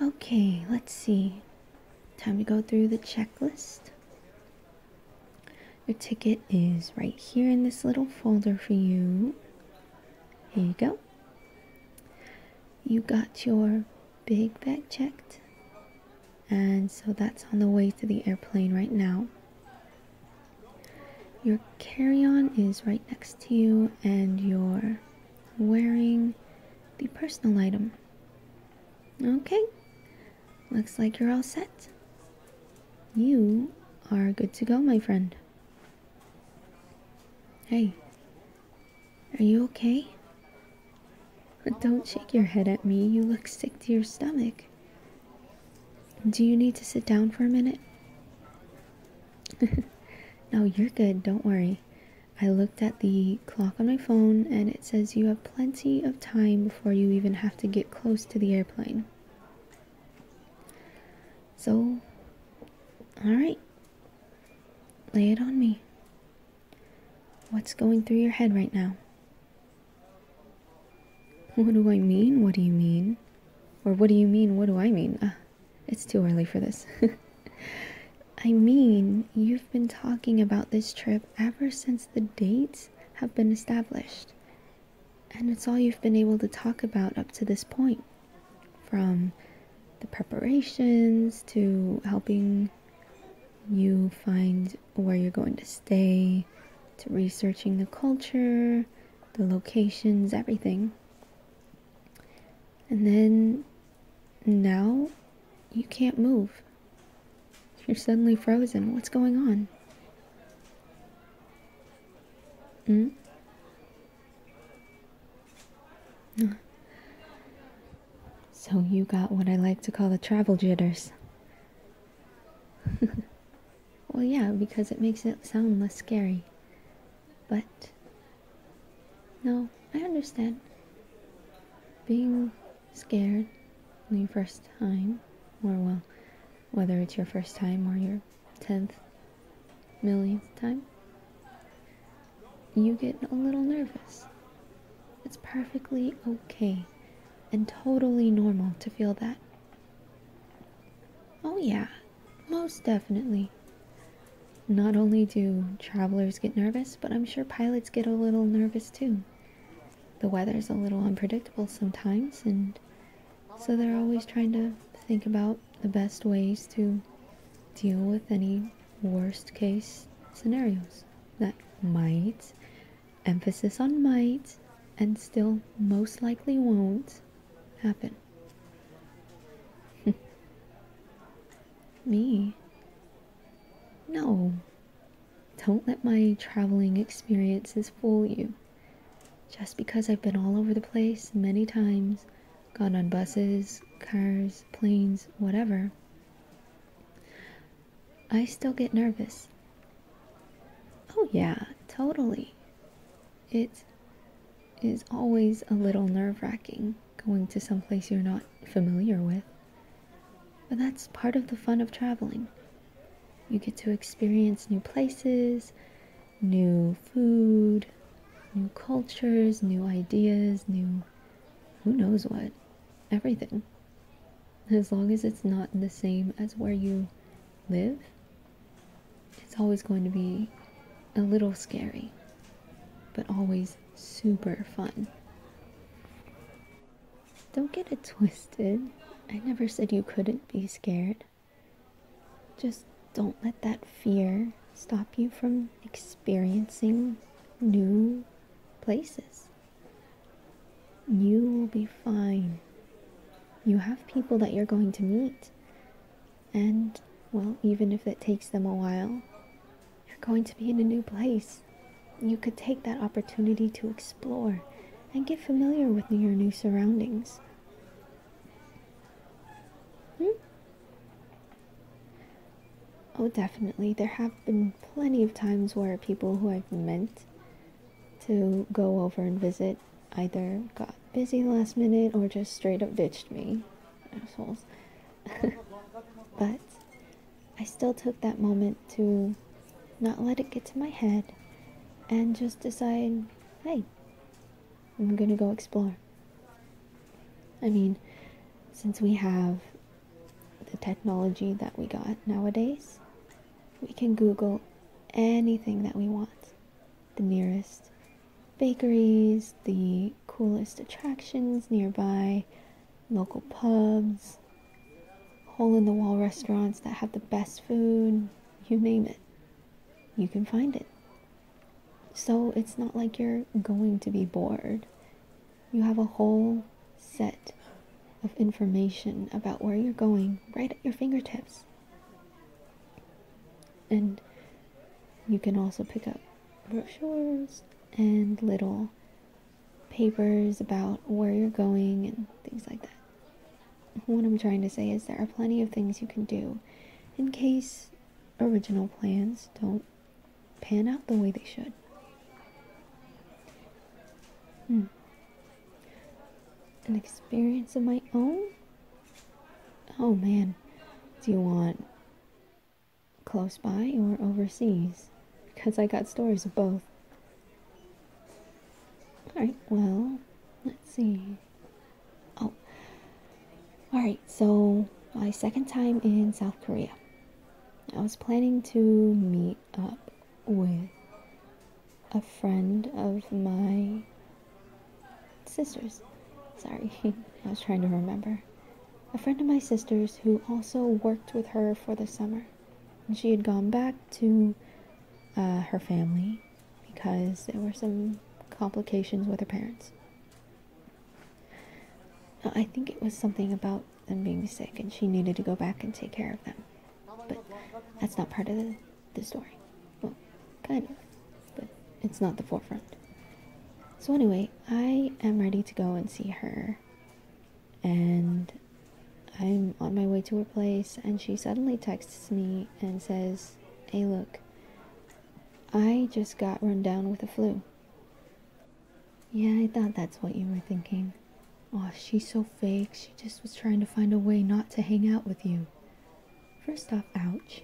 Okay, let's see. Time to go through the checklist. Your ticket is right here in this little folder for you. Here you go. You got your big bag checked. And so that's on the way to the airplane right now. Your carry on is right next to you, and your wearing the personal item. Okay, looks like you're all set. You are good to go, my friend. Hey, are you okay? Don't shake your head at me. You look sick to your stomach. Do you need to sit down for a minute? no, you're good. Don't worry. I looked at the clock on my phone and it says you have plenty of time before you even have to get close to the airplane. So, alright. Lay it on me. What's going through your head right now? What do I mean? What do you mean? Or what do you mean? What do I mean? Ah. It's too early for this. I mean, you've been talking about this trip ever since the dates have been established. And it's all you've been able to talk about up to this point. From the preparations to helping you find where you're going to stay, to researching the culture, the locations, everything. And then now you can't move. You're suddenly frozen. What's going on? Hmm? So you got what I like to call the travel jitters. well, yeah, because it makes it sound less scary. But no, I understand. Being scared on your first time, or well, whether it's your first time or your tenth millionth time, you get a little nervous. It's perfectly okay and totally normal to feel that. Oh, yeah, most definitely. Not only do travelers get nervous, but I'm sure pilots get a little nervous too. The weather's a little unpredictable sometimes, and so they're always trying to think about the best ways to deal with any worst case scenarios that might, emphasis on might, and still most likely won't happen. Me? No. Don't let my traveling experiences fool you. Just because I've been all over the place many times, gone on buses, cars, planes, whatever, I still get nervous. Oh, yeah, totally. It's is always a little nerve wracking going to some place you're not familiar with. But that's part of the fun of traveling. You get to experience new places, new food, new cultures, new ideas, new who knows what, everything. As long as it's not the same as where you live it's always going to be a little scary, but always super fun. Don't get it twisted. I never said you couldn't be scared. Just don't let that fear stop you from experiencing new places. You will be fine. You have people that you're going to meet. And, well, even if it takes them a while, you're going to be in a new place. You could take that opportunity to explore and get familiar with your new surroundings. Hmm? Oh, definitely. There have been plenty of times where people who I've meant to go over and visit either got busy last minute or just straight up ditched me. Assholes. but I still took that moment to not let it get to my head and just decide hey, I'm gonna go explore. I mean, since we have the technology that we got nowadays, we can Google anything that we want the nearest bakeries, the coolest attractions nearby, local pubs, hole in the wall restaurants that have the best food, you name it. You can find it. So it's not like you're going to be bored. You have a whole set of information about where you're going right at your fingertips. And you can also pick up brochures and little papers about where you're going and things like that. What I'm trying to say is there are plenty of things you can do in case original plans don't pan out the way they should. Hmm. An experience of my own? Oh man, do you want close by or overseas? Because I got stories of both. Alright, well, let's see. Oh, alright, so my second time in South Korea. I was planning to meet up with a friend of my sister's. Sorry, I was trying to remember. A friend of my sister's who also worked with her for the summer. And she had gone back to uh, her family because there were some complications with her parents. I think it was something about them being sick and she needed to go back and take care of them. But that's not part of the the story. Well, kind of, but it's not the forefront. So, anyway, I am ready to go and see her. And I'm on my way to her place, and she suddenly texts me and says, Hey, look, I just got run down with a flu. Yeah, I thought that's what you were thinking. Oh, she's so fake. She just was trying to find a way not to hang out with you. First off, ouch.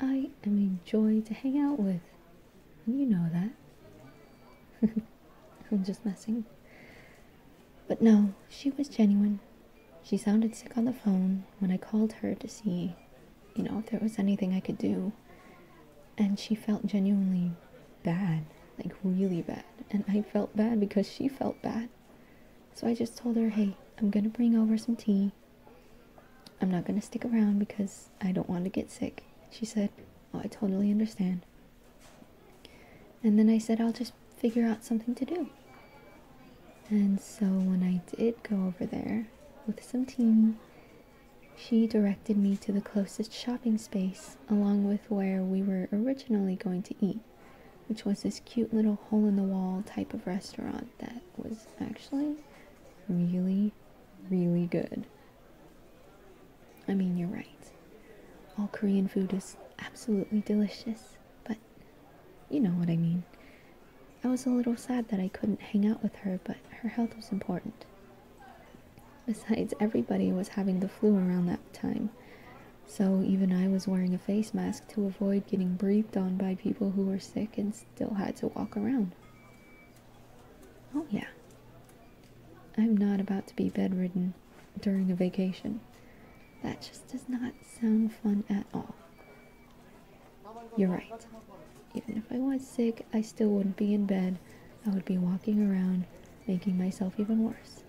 I am a joy to hang out with. you know that. I'm just messing. But no, she was genuine. She sounded sick on the phone when I called her to see, you know, if there was anything I could do. And she felt genuinely bad, like really bad. And I felt bad because she felt bad. So I just told her, hey, I'm going to bring over some tea. I'm not going to stick around because I don't want to get sick. She said, oh, I totally understand. And then I said, I'll just figure out something to do. And so when I did go over there with some tea, she directed me to the closest shopping space along with where we were originally going to eat which was this cute little hole in the wall type of restaurant that was actually really, really good. I mean, you're right. All Korean food is absolutely delicious, but you know what I mean. I was a little sad that I couldn't hang out with her, but her health was important. Besides, everybody was having the flu around that time, so even I was wearing a face mask to avoid getting breathed on by people who were sick and still had to walk around. Oh, yeah. I'm not about to be bedridden during a vacation. That just does not sound fun at all. You're right. Even if I was sick, I still wouldn't be in bed. I would be walking around, making myself even worse.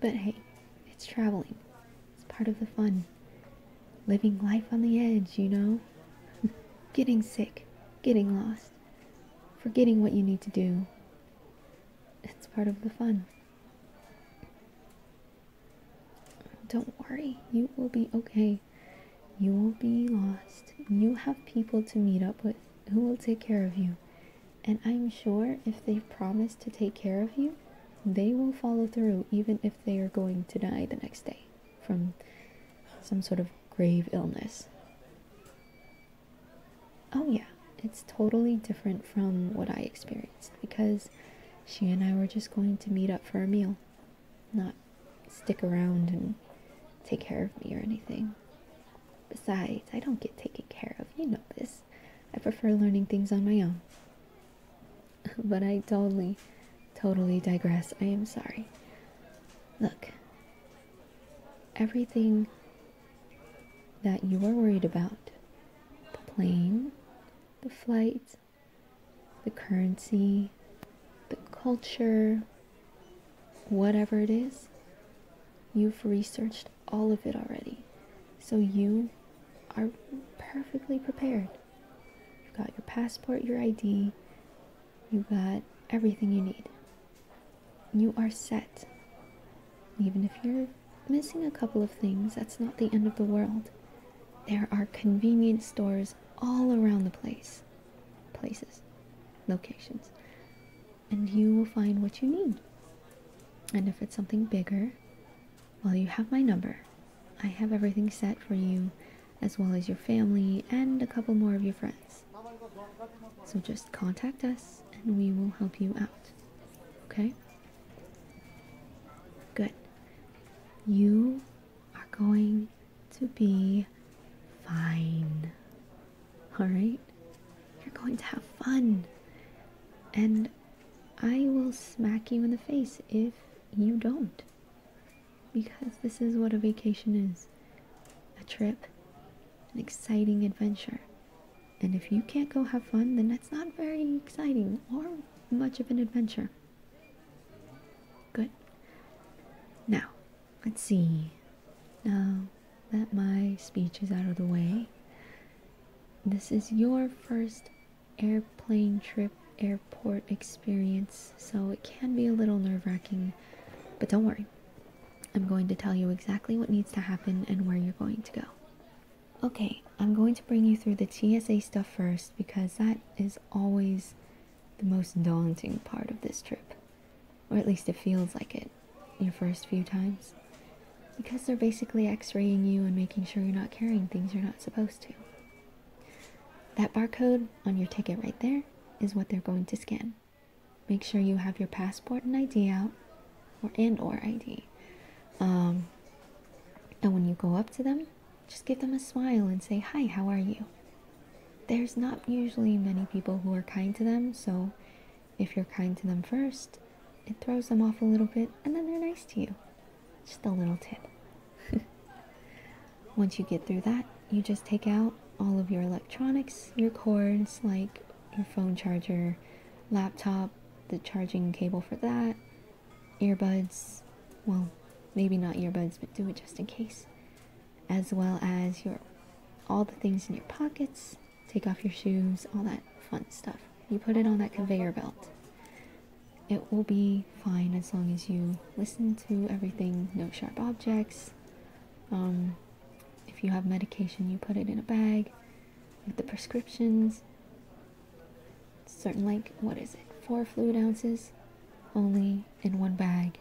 But hey, it's traveling. It's part of the fun. Living life on the edge, you know? getting sick, getting lost, forgetting what you need to do. It's part of the fun. Don't worry, you will be okay. You will be lost. You have people to meet up with who will take care of you and I'm sure if they've promised to take care of you, they will follow through even if they are going to die the next day from some sort of grave illness. Oh, yeah, it's totally different from what I experienced because she and I were just going to meet up for a meal, not stick around and take care of me or anything. Besides, I don't get taken care of, you know this. I prefer learning things on my own. But I totally, totally digress. I am sorry. Look, everything that you are worried about the plane, the flight, the currency, the culture, whatever it is, you've researched all of it already. So you are perfectly prepared. You've got your passport, your ID, you've got everything you need. You are set. Even if you're missing a couple of things, that's not the end of the world. There are convenience stores all around the place. Places. Locations and you will find what you need. And if it's something bigger, well, you have my number. I have everything set for you, as well as your family and a couple more of your friends. So just contact us and we will help you out. Okay? Good. You are going to be fine. Alright? You're going to have fun. And I will smack you in the face if you don't. Because this is what a vacation is a trip, an exciting adventure. And if you can't go have fun, then that's not very exciting or much of an adventure. Good. Now, let's see. Now, that my speech is out of the way. This is your first airplane trip, airport experience, so it can be a little nerve wracking, but don't worry. I'm going to tell you exactly what needs to happen and where you're going to go. Okay, I'm going to bring you through the TSA stuff first because that is always the most daunting part of this trip. Or at least it feels like it your first few times because they're basically x raying you and making sure you're not carrying things you're not supposed to. That barcode on your ticket right there is what they're going to scan. Make sure you have your passport and ID out, or in, or ID. Um, and when you go up to them, just give them a smile and say, "Hi, how are you?" There's not usually many people who are kind to them, so if you're kind to them first, it throws them off a little bit and then they're nice to you. Just a little tip. Once you get through that, you just take out all of your electronics, your cords, like your phone charger, laptop, the charging cable for that, earbuds, well, maybe not earbuds, but do it just in case, as well as your all the things in your pockets, take off your shoes, all that fun stuff. You put it on that conveyor belt. It will be fine as long as you listen to everything, no sharp objects. Um, if you have medication, you put it in a bag with the prescriptions. Certain, like, what is it, four fluid ounces only in one bag,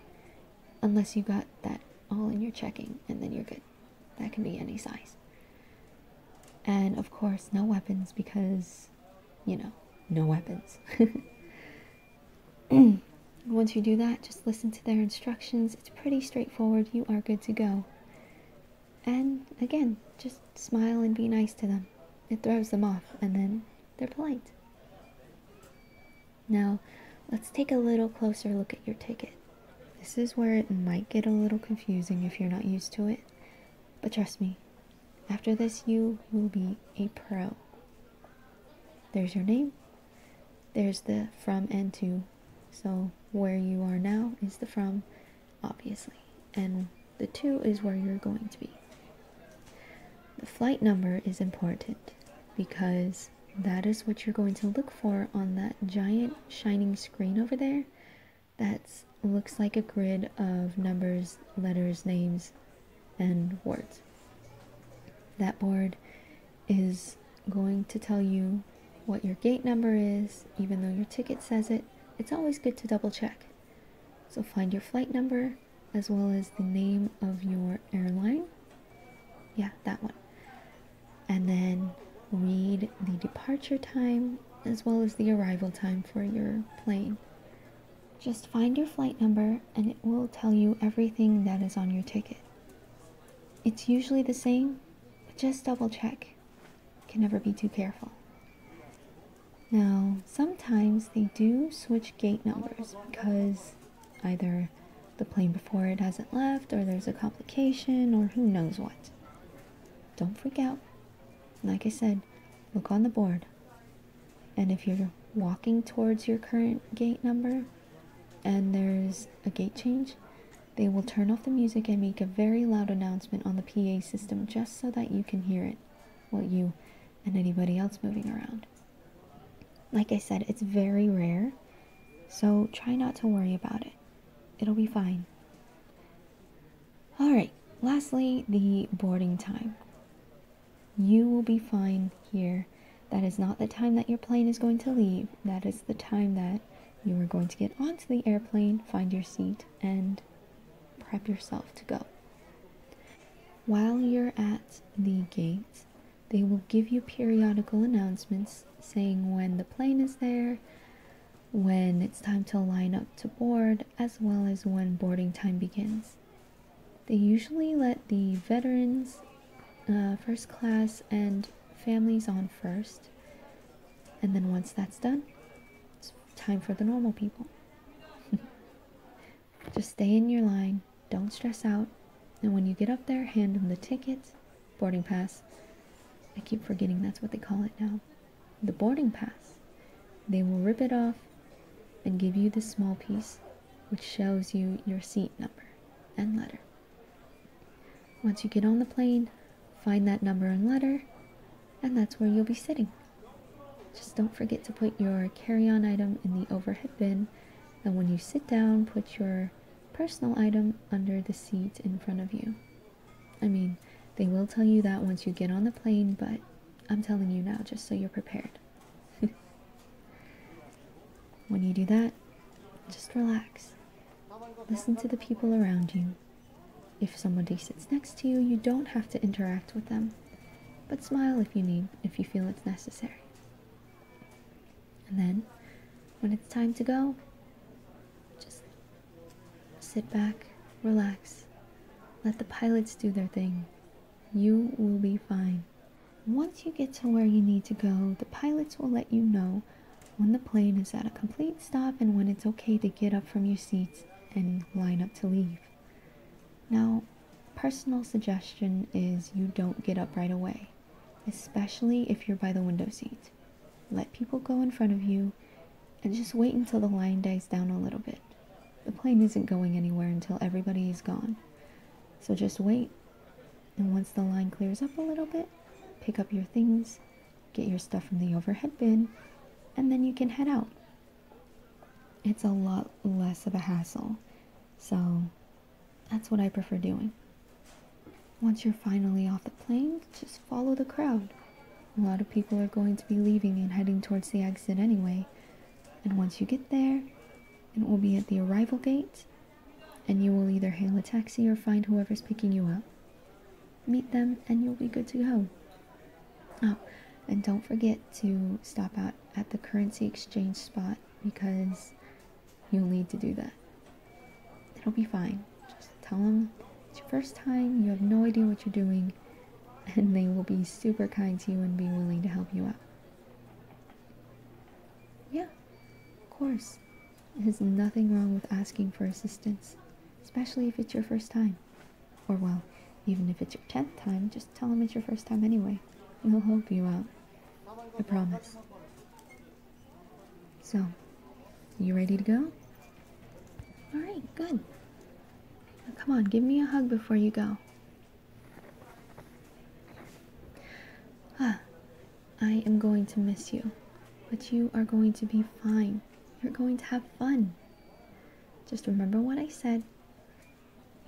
unless you got that all in your checking, and then you're good that can be any size. And of course, no weapons because, you know, no weapons. Once you do that, just listen to their instructions. It's pretty straightforward. You are good to go. And again, just smile and be nice to them. It throws them off, and then they're polite. Now, let's take a little closer look at your ticket. This is where it might get a little confusing if you're not used to it, but trust me, after this, you will be a pro. There's your name, there's the from and to, so where you are now is the from, obviously, and the to is where you're going to be. The flight number is important because that is what you're going to look for on that giant shining screen over there that looks like a grid of numbers, letters, names, and words. That board is going to tell you what your gate number is, even though your ticket says it. It's always good to double check. So find your flight number as well as the name of your airline. Yeah, that one and then read the departure time as well as the arrival time for your plane. Just find your flight number and it will tell you everything that is on your ticket. It's usually the same, but just double check. can never be too careful. Now, sometimes they do switch gate numbers because either the plane before it hasn't left, or there's a complication, or who knows what. Don't freak out. Like I said, look on the board. And if you're walking towards your current gate number and there's a gate change, they will turn off the music and make a very loud announcement on the PA system just so that you can hear it, well, you and anybody else moving around. Like I said, it's very rare, so try not to worry about it. It'll be fine. All right, lastly, the boarding time. You will be fine here. That is not the time that your plane is going to leave. That is the time that you are going to get onto the airplane, find your seat, and prep yourself to go. While you're at the gate, they will give you periodical announcements saying when the plane is there, when it's time to line up to board, as well as when boarding time begins. They usually let the veterans, uh, first class, and families on first, and then once that's done, it's time for the normal people. Just stay in your line, don't stress out, and when you get up there, hand them the tickets boarding pass. I keep forgetting that's what they call it now. The boarding pass. They will rip it off and give you this small piece which shows you your seat number and letter. Once you get on the plane, find that number and letter, and that's where you'll be sitting. Just don't forget to put your carry on item in the overhead bin, and when you sit down, put your personal item under the seat in front of you. I mean, they will tell you that once you get on the plane, but I'm telling you now just so you're prepared. when you do that, just relax. Listen to the people around you. If somebody sits next to you, you don't have to interact with them, but smile if you need, if you feel it's necessary. And then, when it's time to go, just sit back, relax, let the pilots do their thing. You will be fine. Once you get to where you need to go, the pilots will let you know when the plane is at a complete stop and when it's okay to get up from your seats and line up to leave. Now, personal suggestion is you don't get up right away especially if you're by the window seat. Let people go in front of you and just wait until the line dies down a little bit. The plane isn't going anywhere until everybody is gone. So just wait. And once the line clears up a little bit, pick up your things, get your stuff from the overhead bin, and then you can head out. It's a lot less of a hassle. So that's what I prefer doing. Once you're finally off the plane, just follow the crowd. A lot of people are going to be leaving and heading towards the exit anyway. And once you get there, it will be at the arrival gate, and you will either hail a taxi or find whoever's picking you up. Meet them, and you'll be good to go. Oh, and don't forget to stop out at the currency exchange spot because You'll need to do that. It'll be fine. Just tell them it's your first time, you have no idea what you're doing, and they will be super kind to you and be willing to help you out. Yeah, of course. There's nothing wrong with asking for assistance, especially if it's your first time. Or, well, even if it's your 10th time, just tell them it's your first time anyway. and They'll help you out. I promise. So, you ready to go? All right, good. come on, give me a hug before you go. Ah, I am going to miss you, but you are going to be fine. You're going to have fun. Just remember what I said.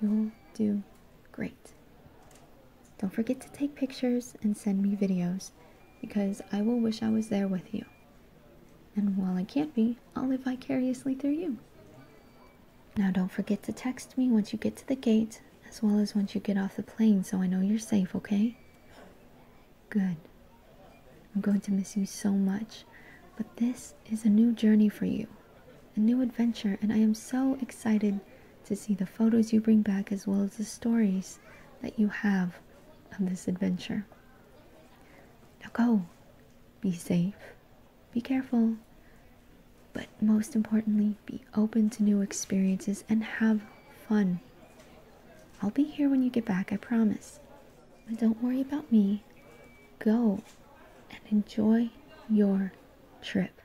You'll do great. Don't forget to take pictures and send me videos because I will wish I was there with you. And while I can't be, I'll live vicariously through you. Now, don't forget to text me once you get to the gate as well as once you get off the plane so I know you're safe, okay? Good. I'm going to miss you so much, but this is a new journey for you, a new adventure, and I am so excited to see the photos you bring back as well as the stories that you have of this adventure. Now go, be safe, be careful, but most importantly, be open to new experiences and have fun. I'll be here when you get back, I promise. But don't worry about me. Go and enjoy your trip.